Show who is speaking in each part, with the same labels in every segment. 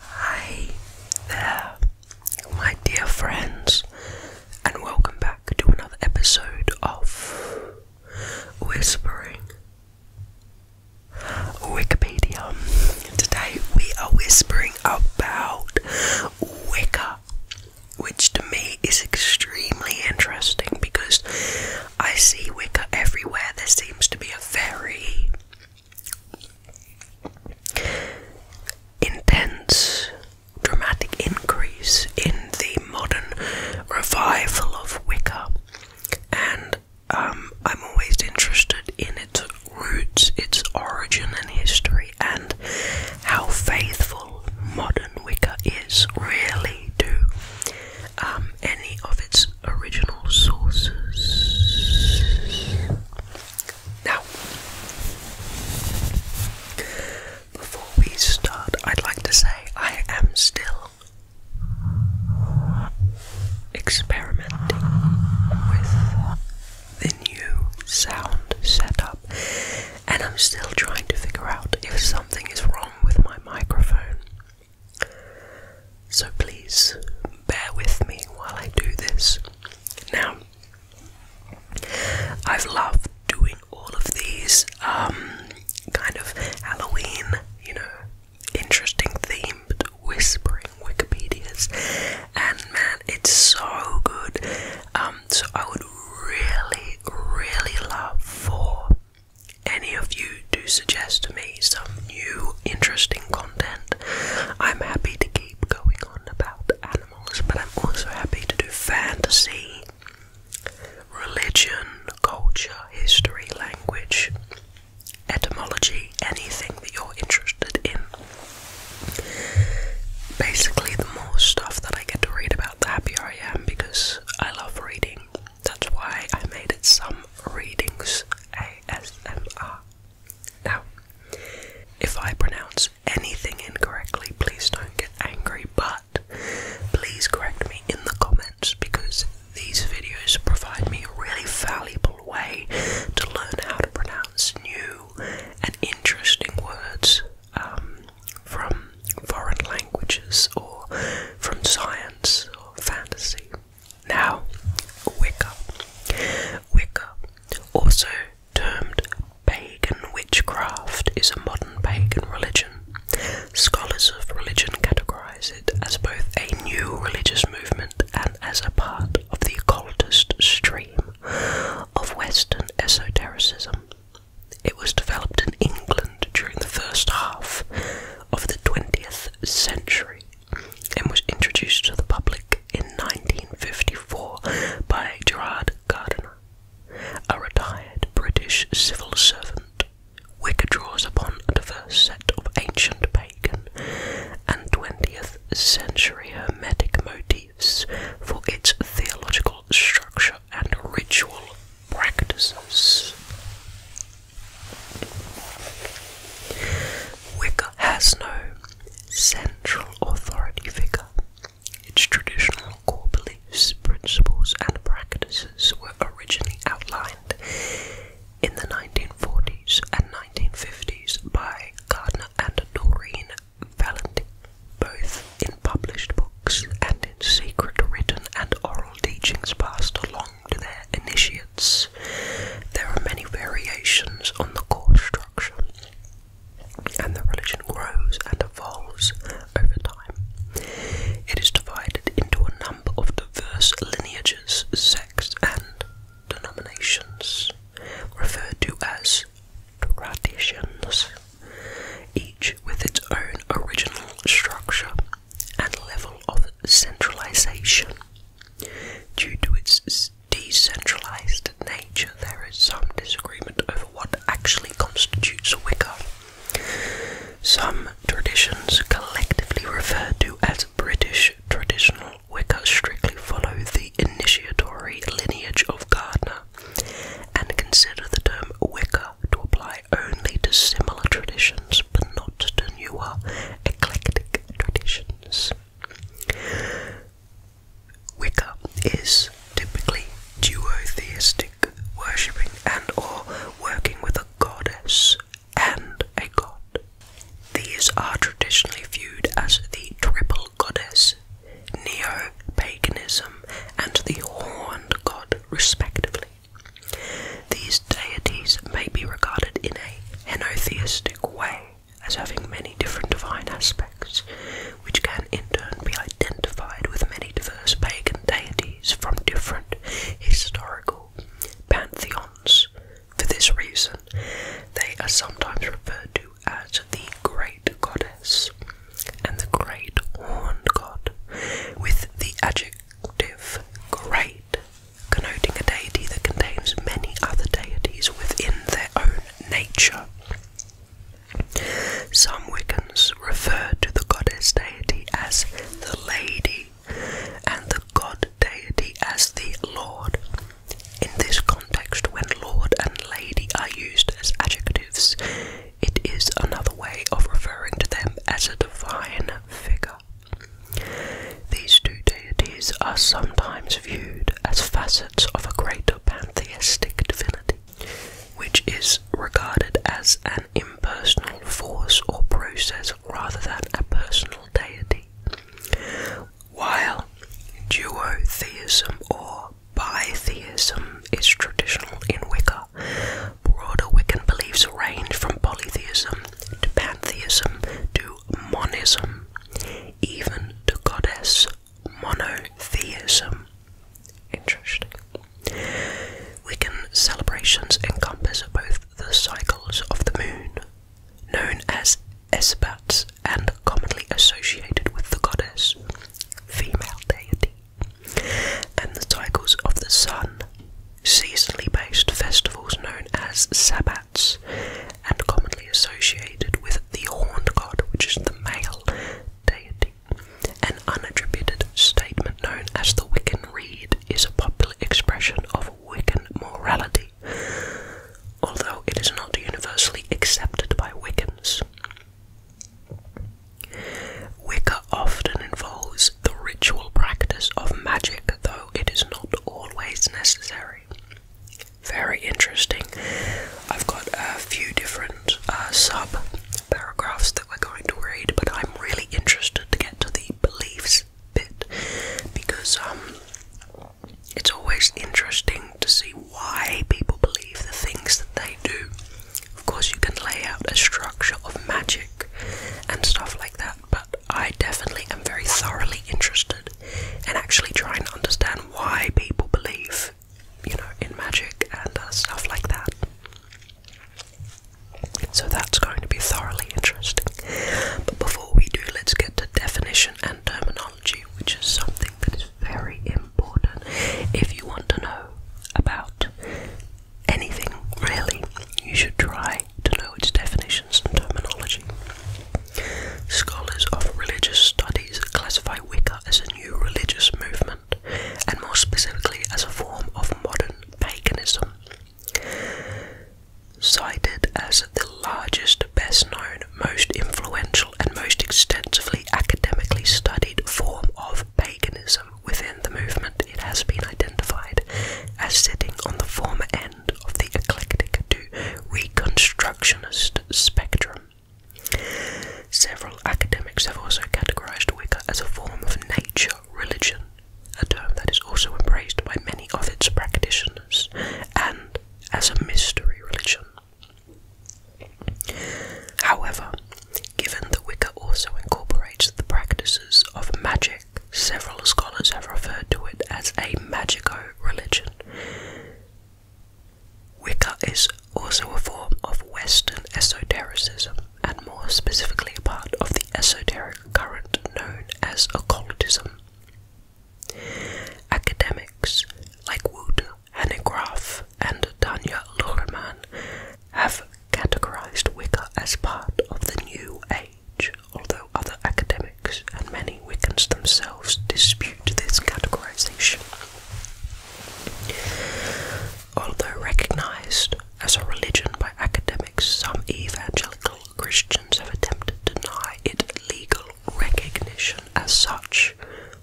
Speaker 1: Hi there, my dear friends, and welcome back to another episode of Whispering Wikipedia. Today we are whispering about Wicca, which to me is extremely interesting because I see wicker everywhere. There seems to be a very intense, dramatic increase in the modern revival of wicker, and um, I'm always interested in its roots, its origin, and history, and how faithful modern wicker is really to um, any of its original sources. Now, before we start, I'd like to say I am still experimenting with the new sound setup, and I'm still trying to figure out if something is wrong with my microphone. So please bear with me while I do this. Now, I've loved doing all of these um, kind of Halloween, you know, interesting themed whispering Wikipedias, and man, it's so good. Um, so I would really, really love for any of you do suggest to me some new interesting content, I'm happy to keep going on about animals, but I'm also happy to do fantasy, religion, culture, history, language, etymology, anything that you're interested in. Basically, the more stuff that I get to read about, the happier I am because I love reading. That's why I made it some readings ASMR. Now, if I pronounce anything incorrectly, please don't get angry, but please correct me in the comments because these videos provide me a really valuable way to learn how to pronounce new and interesting words um, from foreign languages or from science or fantasy. Now, Wicca. Wicca, also termed pagan witchcraft, is a modern pagan religion. Scholars of religion categorize it as both a new religious movement and as a part of the occultist stream of Western esotericism. It was developed in England during the first half of the 20th century and was introduced to the public in 1954 by Gerard Gardner, a retired British civil servant. Wicker draws upon a diverse set of ancient pagan and 20th century hermetic motifs for its theological structure and ritual practices. Wicca has no central authority figure. Its traditional core beliefs, principles, and practices were originally outlined in the 1940s and 1950s by Gardner and Doreen Valenti, both in published books and in secret written and oral teachings passed along to their initiates. There are many variations on the core structure, and the religion grows and evolves over time. It is divided into a number of diverse lineages, sects, and denominations, referred to as traditions, each with its own original structure and level of centralisation, Due to its decentralized nature, there is some disagreement over what actually constitutes Wicca. Some traditions, collectively referred to as British traditional Wicca, strictly follow the initiatory lineage of Gardner and consider the term Wicca to apply only to similar traditions but not to newer eclectic traditions. Wicca is typically duotheistic, worshipping and or working with a goddess and a god. These are traditionally viewed as the triple goddess, neo-paganism and the horned god respectively. These deities may be regarded in a henotheistic way as having many different divine aspects, which can in turn be identified with many diverse pagan deities from different historical pantheons. For this reason, they are sometimes referred to as the Great Goddess and the Great Horned God, with the adjective great, connoting a deity that contains many other deities within their own nature. Some Wiccans refer to the goddess deity as the Lady and the god deity as the Lord. In this context, when Lord and Lady are used as adjectives, it is another way of referring to them as a divine figure. These two deities are sometimes viewed as facets of a greater pantheistic divinity, which is regarded as an impersonal force or process rather than a personal deity. While duotheism or bitheism is traditional in Wicca, Broader Wiccan beliefs range from polytheism to pantheism to monism, even to goddess monotheism. Interesting. Wiccan celebrations encompass both the cycles of the moon, known as Esbats and commonly associated with the goddess, female deity, and the cycles of the sun, seasonally based festivals known as sabbats, and commonly associated with the horned god, which is the male deity. An unattributed statement known as the Wiccan reed is a popular expression of Wiccan morality, although it is not universally accepted by Wiccans. Wicca often involves the ritual practice of magic, though it is not always necessary. Very interesting. I've got a few different uh, sub paragraphs that we're going to read, but I'm really interested to get to the beliefs bit because um, it's always interesting to see why people believe the things that they do. Of course, you can lay out a structure of magic and stuff like that, but I definitely am very thoroughly interested in actually trying to understand why people believe, you know, in magic and uh, stuff like that. So that's going to be thoroughly interesting. But before we do, let's get to definition and terminology, which is something that is very important if you want to know about anything really, you should try to know its definitions and terminology. Scholars of religious studies classify Wicca as a new religious movement, and more specifically as a form of modern paganism. Cited as the largest, best known, most influential, and most extensively academically studied form of paganism, within the movement, it has been identified as sitting on the former end of the eclectic to reconstructionist spectrum. Several academics have also categorized Wicca as a form of nature religion, a term that is also embraced by many of its practitioners, and as a mystery religion. However, Given that Wicca also incorporates the practices of magic, several scholars have referred to it as a magico religion. Wicca is also a form of Western esotericism, and more specifically a part of the esoteric current known as occultism. Academics like Wood and Hanegraaff and Tanya Luhrmann have categorized Wicca as part of the New Age, although other academics and many Wiccans themselves dispute this categorization. Although recognized as a religion by academics, some evangelical Christians have attempted to deny it legal recognition as such,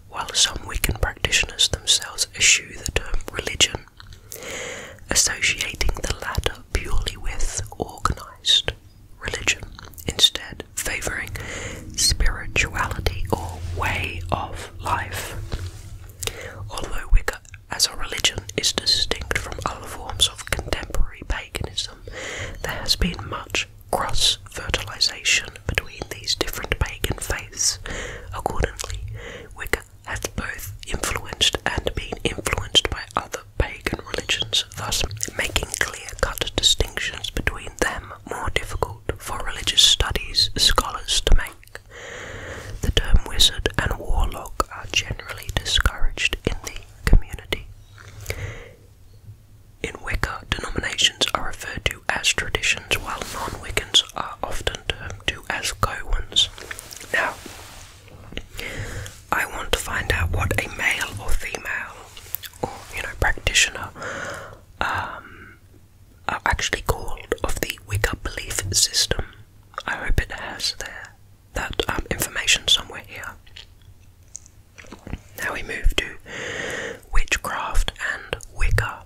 Speaker 1: while some Wiccan practitioners themselves issue the term religion associating the latter purely with organized religion, instead favoring spirituality or way of life. Although Wicca as a religion is distinct from other forms of contemporary paganism, there has been much cross fertilization between these different pagan faiths. Accordingly, Wicca has both influenced and been influenced by other pagan religions, thus making clear-cut distinctions between them more difficult for religious studies scholars to make. The term wizard and warlock are generally discouraged in the community. In Wicca, denominations are referred to as traditions, while non-Wiccans are often termed to as cowens. Now, I want to find out what a male or female, or you know, practitioner, um, are actually called of the Wicca belief system. I hope it has there that um, information somewhere here. Now we move to witchcraft and Wicca.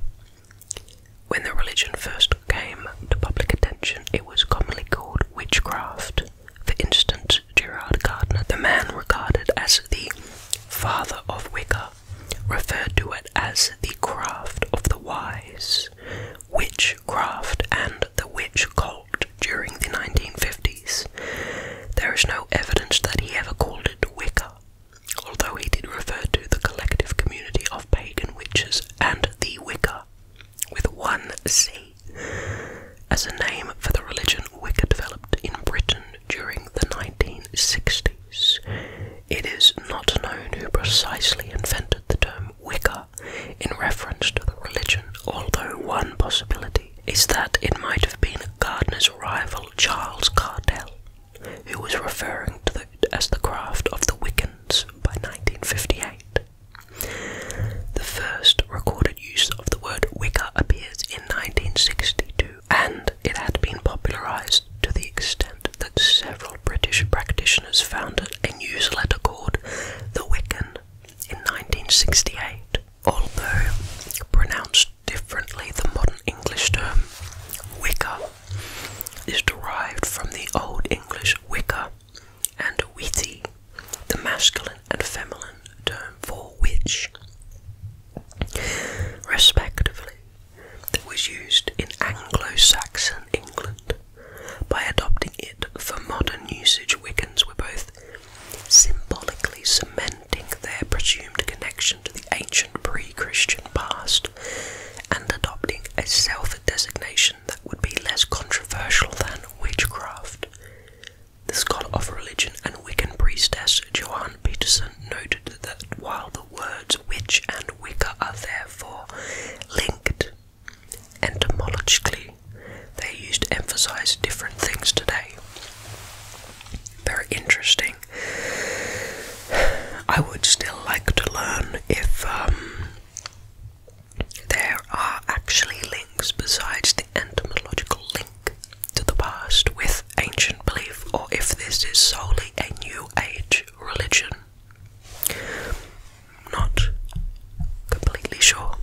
Speaker 1: When the religion first came to public attention, it was commonly called witchcraft. For instance, Gerard Gardner, the man regarded as the father of Wicca, referred to it as the craft of the wise, witchcraft, and the witch cult during the 1950s. There is no evidence that he ever called it Wicca, although he did refer to the collective community of pagan witches and the Wicca, with one C, as a name for the religion Wicca developed in Britain during the 1960s. It is not known who precisely invented the term Wicca in reference to the religion, although one possibility is that it might have been Gardner's rival Charles Cardell who was referring to it as the craft of the Wiccans by 1958. The first recorded use of the word Wicca appears in 1962, and it had been popularized to the extent that several British practitioners founded a newsletter called The Wiccan in 1968. Although pronounced differently, the modern English term Wicca is derived from the Old English wicca, and witty, the masculine and feminine term for witch, respectively, that was used in Anglo Saxon England. By adopting it for modern usage, Wiccans were both symbolically cementing their presumed connection to the ancient pre Christian past and adopting a self designation that would be less controversial than witchcraft. The scholar of religion and Wiccan priestess Johanne Peterson noted that while the words witch and Wicca are therefore linked etymologically, they are used to emphasize different things today. Very interesting. I would still like to learn if um, there are actually links besides the entomological link to the past with ancient belief, or if this is solely a new age religion. Not completely sure.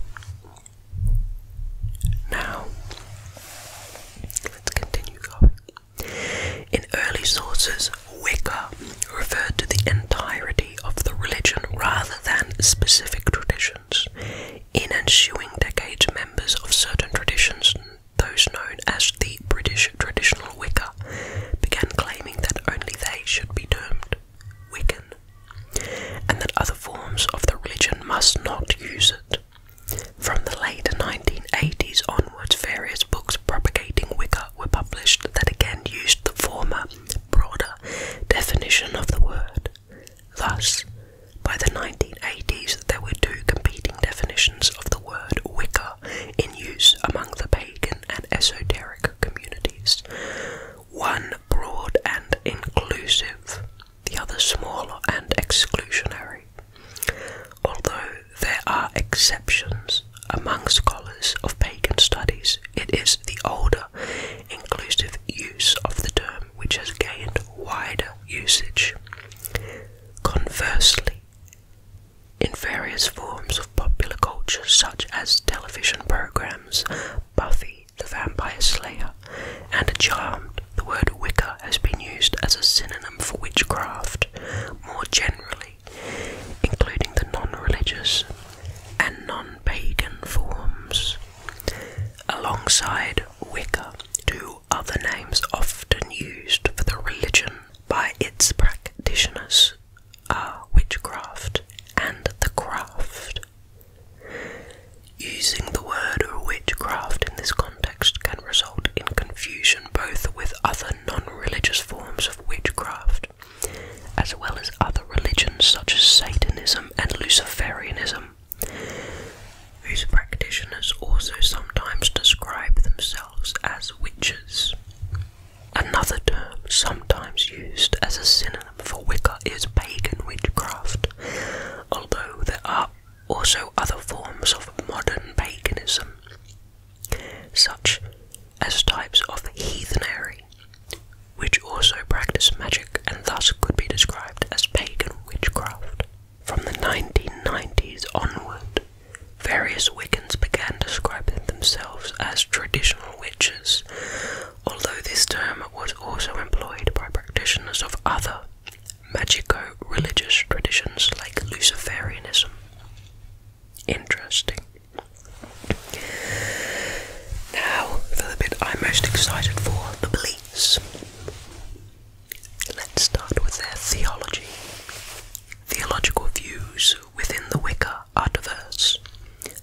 Speaker 1: Now, let's continue going. In early sources, Wicca referred to the entirety of the religion rather than specific traditions. In ensuing decades, members of certain traditions, those known as the British traditional Wicca, began claiming that only they should be termed Wiccan, and that other forms of the religion must not use it. From the late 1980s onwards, various books propagating Wicca were published that again used the former, broader definition of the word. Thus, by the 1980s, there were two competing definitions of the word Wicca in use among the pagan and esoteric communities. One broad and inclusive, the other smaller and exclusionary. Although there are exceptions among scholars of pagan studies, it is the older, inclusive use of the term which has gained wider usage. Conversely, in various forms of popular culture, such as television programs, Buffy the Vampire Slayer, and Charmed, the word Wicca has been used as a synonym for witchcraft more generally, including the non religious and non pagan forms. Alongside Wicca, two other names often used for the religion by its practitioners are witchcraft and the craft. Using the word witchcraft in this context context can result in confusion both with other non religious forms of witchcraft, as well as other religions such as Satanism and Luciferianism, whose practitioners also sometimes describe themselves as witches. Another term sometimes used as a synonym for Wicca is pagan witchcraft, although there are also other forms of modern paganism such as types of heathenry, which also practice magic and thus could be described as pagan witchcraft. From the 1990s onward, various Wiccans began describing themselves as traditional witches, although this term was also employed by practitioners of other magico religious traditions like Luciferianism. Interesting. Now, for the bit I'm most excited for the beliefs. Let's start with their theology. Theological views within the Wicca are diverse.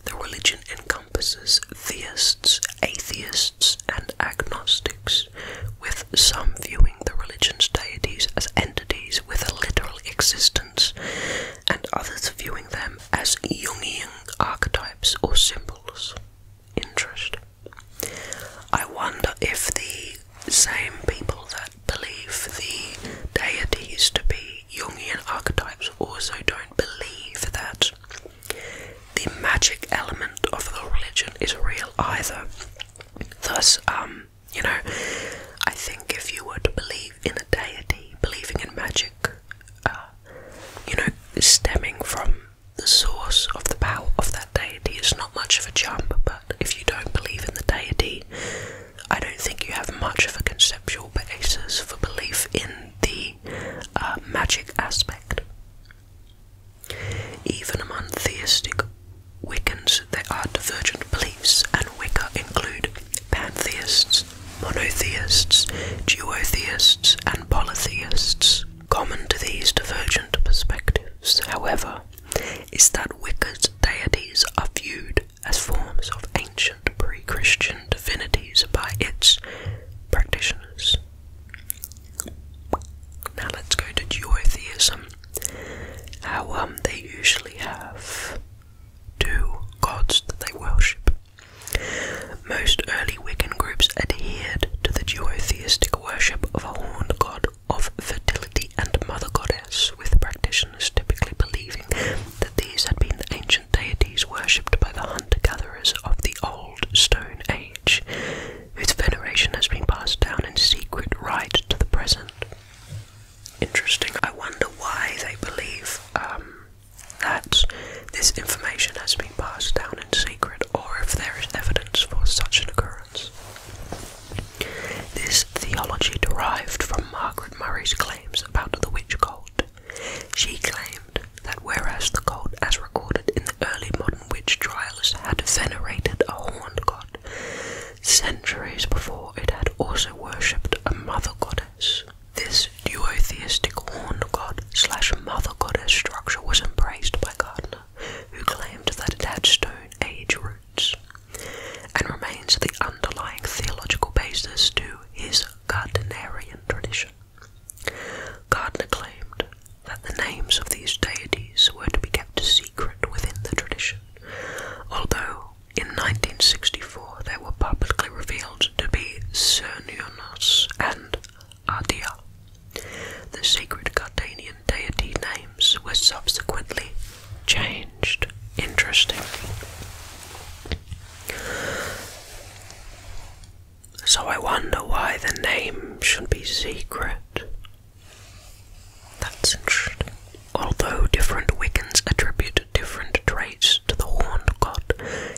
Speaker 1: The religion encompasses theists, atheists, and agnostics with some viewing the religion's deities as entities with a literal existence, and others viewing them as Jungian archetypes or symbols. Interest. I wonder if the same people that believe the deities to be Jungian archetypes also don't believe that the magic element of the religion is real either. Thus, um, you know, I think if you were to believe in a deity, believing in magic, uh, you know, stemming from the source of the power of that deity is not much of a jump, but if you don't believe in the deity, I don't think you have much of a conceptual basis for belief in the uh, magic aspect. Even among theistic Wiccans, there are divergent beliefs, and Wicca include pantheists, monotheists, duotheists, and polytheists. Common to these divergent perspectives, however, is that Wicca's deities are viewed as forms of ancient pre Christian divinities by its practitioners. Now let's go to duotheism how um they usually have two gods that they worship. Most early Wiccan groups adhered to the duotheistic worship of a horned god of fertility and mother goddess, with practitioners typically believing that these had been the ancient deities worshipped by the hunter gatherers of the Old Stone Age whose veneration has been passed down in secret right to the present. Interesting. I wonder why they believe um, that this information has been passed down in secret, or if there is evidence for such an occurrence. This theology derived from Margaret Murray's claims about the witch cult. She claimed that whereas the cult, as recorded in early modern witch trials had venerated a horned god. Centuries before, it had also worshipped a mother goddess. This duotheistic horned god slash mother goddess structure was embraced by Gardner, who claimed that it had Stone Age roots and remains the underlying theological basis to his Gardnerian tradition. Gardner claimed that the names of these deities were to be kept secret within the tradition, although in 1964 they were publicly revealed to be Cernunnos and Adia. The sacred Cardanian deity names were subsequently changed. Interesting. So I wonder why the name should be secret that's interesting. Although different Wiccans attribute different traits to the horned god,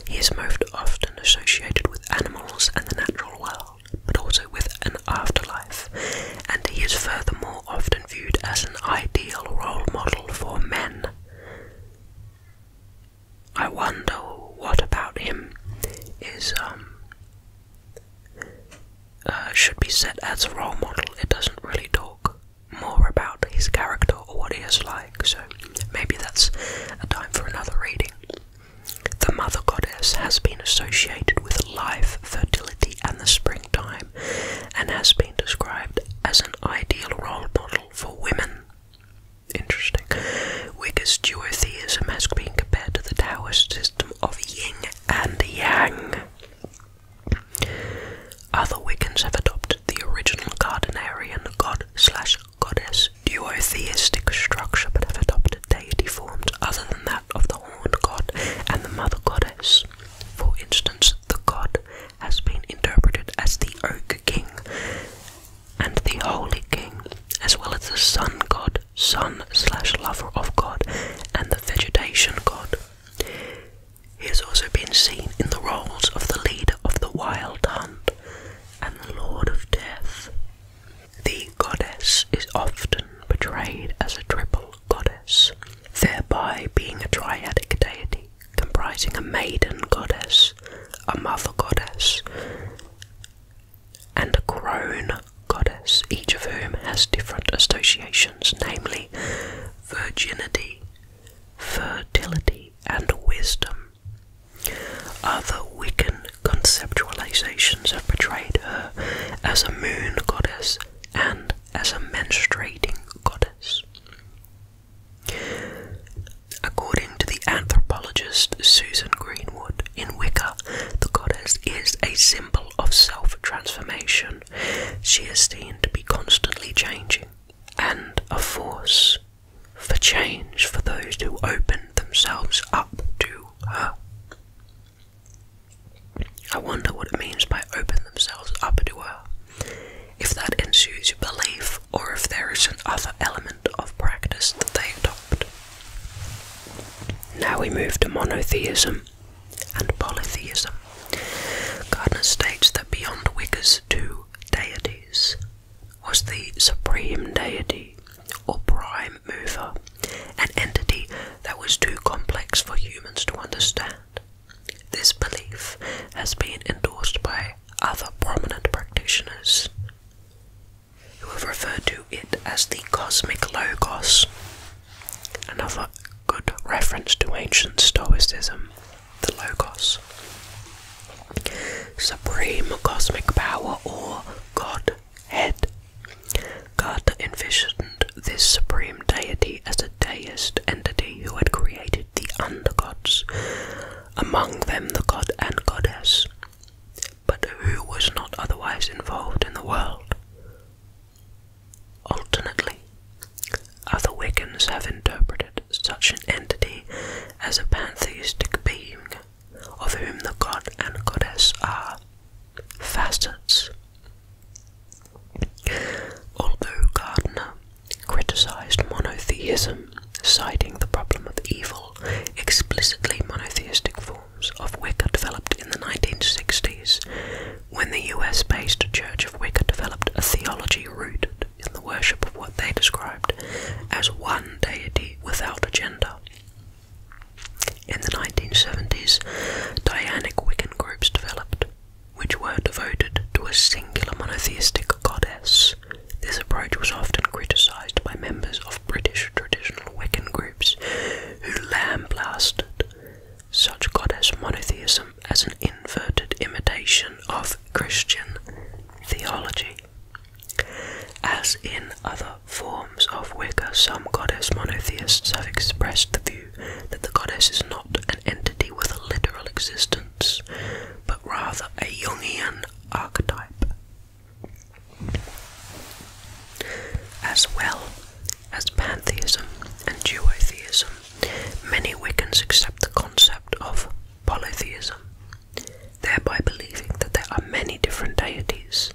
Speaker 1: he is most often associated with animals and the natural world, but also with an afterlife, and he is furthermore often viewed as an ideal role model for men. I wonder what about him is um uh, should be set as a role model. It doesn't really talk more about his character or what he is like, so maybe that's a time for another reading. The mother goddess has been associated with life, fertility, and the springtime, and has been described as an ideal role model for women. Interesting. Wicca's duotheism has been compared to the Taoist system of yin and yang. Other Wiccans have adopted the original Gardnerian god slash goddess duotheistic structure, but have adopted deity forms other than that of the horned god and the mother goddess. For instance, the god has been interpreted as the oak king and the holy king, as well as the sun god, sun slash lover of God, and the vegetation god. He has also been seen in the roles of the leader of the wild hunt and the lord of death. The goddess is often portrayed as a triple goddess, thereby being a triadic deity comprising a maiden goddess, a mother goddess, and a crone goddess, each of whom has different associations, namely virginity, fertility, and wisdom. Other Wiccan conceptualizations have portrayed her as a moon goddess and as a menstruating goddess. According to the anthropologist Susan Greenwood, in Wicca, the goddess is a symbol of self transformation. She is seen to be constantly changing and a force for change for those who open themselves up to her. I wonder what it means by open themselves up to her. If that ensues belief, or if there is an other element of practice that they adopt. Now we move to monotheism and polytheism. Gardner states that beyond Wicca's two deities was the supreme deity or prime mover, an entity that was too complex for humans to understand. This belief has been endorsed by other prominent practitioners who have referred to it as the cosmic logos, another good reference to ancient Stoicism, the logos. Supreme cosmic power or Godhead. God envisioned this supreme deity as a deist entity who had created the undergods, among them the god and goddess but who was not otherwise involved in the world. Alternately, other Wiccans have interpreted such an entity as a pantheistic being, of whom the god and goddess are facets. Although Gardner criticized monotheism, citing the problem of evil, explicitly monotheistic form of Wicca developed in the 1960s when the US based Church of Wicca developed a theology rooted in the worship of what they described as one deity without a gender. In the 1970s, Dianic Wiccan groups developed, which were devoted to a singular monotheistic goddess. This approach was often criticized by members of British traditional Wiccan groups who lambasted such goddess monotheism as an inverted imitation of Christian theology. As in other forms of Wicca, some goddess monotheists have expressed the view that the goddess is not an entity with a literal existence, but rather a Jungian archetype. As well as pantheism and duotheism, many Wiccans accept the concept of polytheism, thereby believing that there are many different deities.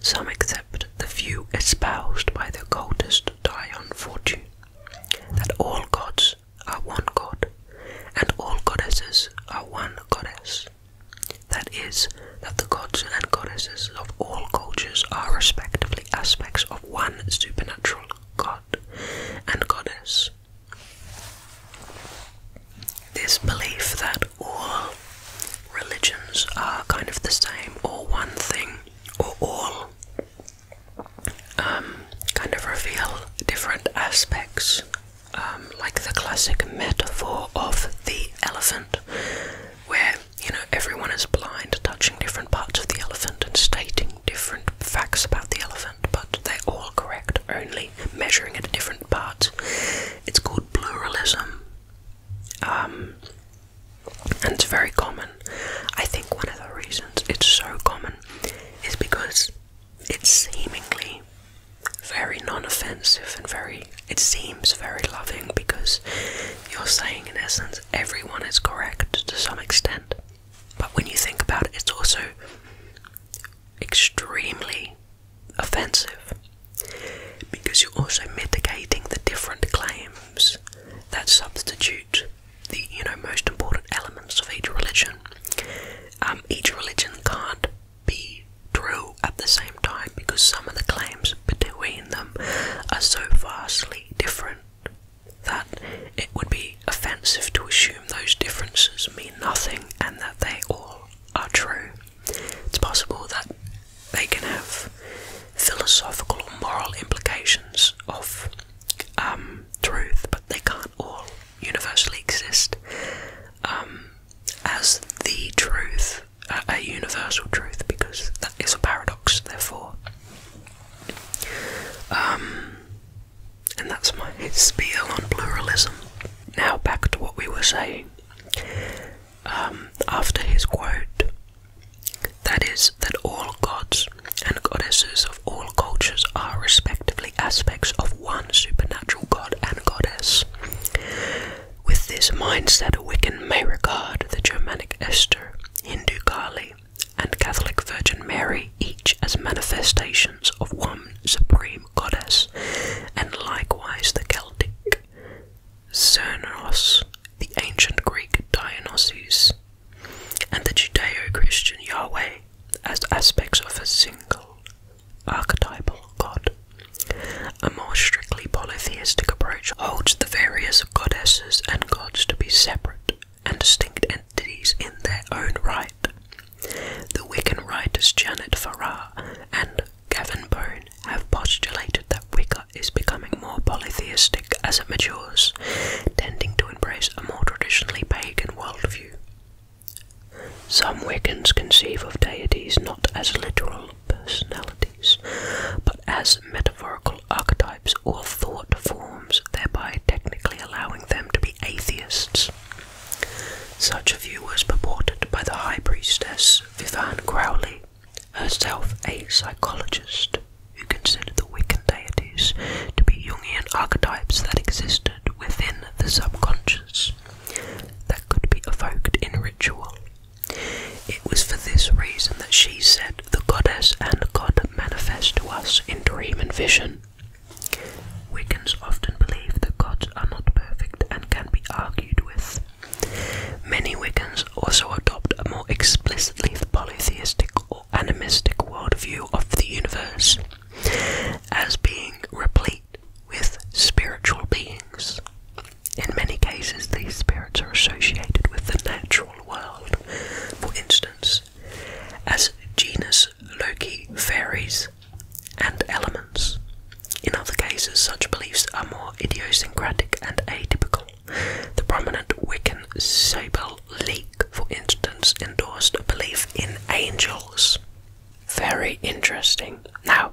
Speaker 1: Some accept the view espoused by the occultist Dion Fortune, that all gods are one god, and all goddesses are one goddess that is, that the gods and goddesses of all cultures are respectively aspects of one supernatural god and goddess. This belief that all religions are kind of the same, or one thing, or all, um, kind of reveal different aspects um, like the classic metaphor of the elephant, where you know everyone is blind, touching different parts of the elephant and stating different facts about the elephant, but they're all correct, only measuring at different parts. It's called pluralism, um, and it's very common. I think one of the reasons it's so common is because it's seemingly very non-offensive and very it seems very loving because you're saying in essence everyone is correct to some extent but when you think about it it's also extremely offensive because you're also mitigating the different claims that substitute the you know most important elements of each religion um, each religion can't be true at the same time because some of the claims between them are so vastly different that it would be offensive to assume those differences mean nothing and that they all are true. It's possible that they can have philosophical or moral implications of um, truth, but they can't all universally exist. Um, as the truth, a, universal truth, because that is a paradox, therefore. Um, and that's my spiel on pluralism. Now, back to what we were saying. Um, after his quote, that is, that all gods and goddesses of all cultures are respectively aspects of one supernatural god and goddess. With this mindset, a Wiccan may regard the Germanic Esther, Hindu Kali, and Catholic Virgin Mary each as manifestations of one supreme goddess, and likewise the Celtic Xenos, the ancient Greek Dionysus, and the Judeo Christian Yahweh as aspects of a single archetypal god. A more strictly polytheistic approach holds the various goddesses and gods to be separate and distinct entities in their own right. The Wiccan writers Janet Farrar and Gavin Bone have postulated that Wicca is becoming more polytheistic as it matures, tending to embrace a more traditionally pagan worldview. Some Wiccans conceive of deities not as literal personalities, but as metaphorical archetypes or thought forms, thereby technically allowing them to be atheists. Such a view was purported by the High Priestess Vivian Crowley, herself a psychologist who considered the Wiccan deities to be Jungian archetypes that existed within the subconscious that could be evoked in ritual. It was for this reason that she said the goddess and god manifest to us in dream and vision. Wiccans often believe that gods are not perfect and can be argued with. Many Wiccans also adopt a more explicitly polytheistic or animistic worldview of the universe as being replete with spiritual beings. In many cases, these spirits are associated with the natural world. For instance, as genus Loki fairies and elements. In other cases, such beliefs are more idiosyncratic and atypical. The prominent Wiccan Sable Leek, for instance, endorsed a belief in angels. Very interesting. Now,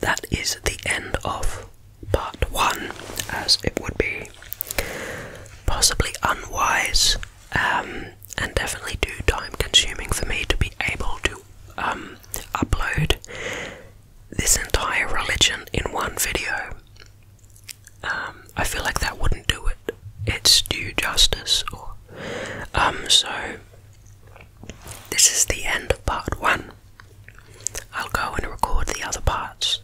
Speaker 1: that is the end of part one, as it would be possibly unwise um, and definitely too time consuming for me to be able to um, upload this entire religion in one video. Um, I feel like that wouldn't do it. It's due justice, um, so this is the end of part one. I'll go and record the other parts,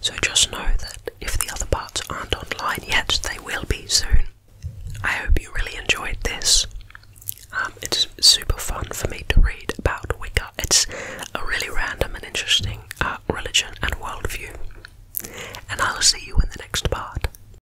Speaker 1: so just know that if the other parts aren't online yet, they will be soon. I hope you really enjoyed this. Um, it's super fun for me to read about Wicca. It's a really random and interesting uh, religion and worldview. And I'll see you in the next part.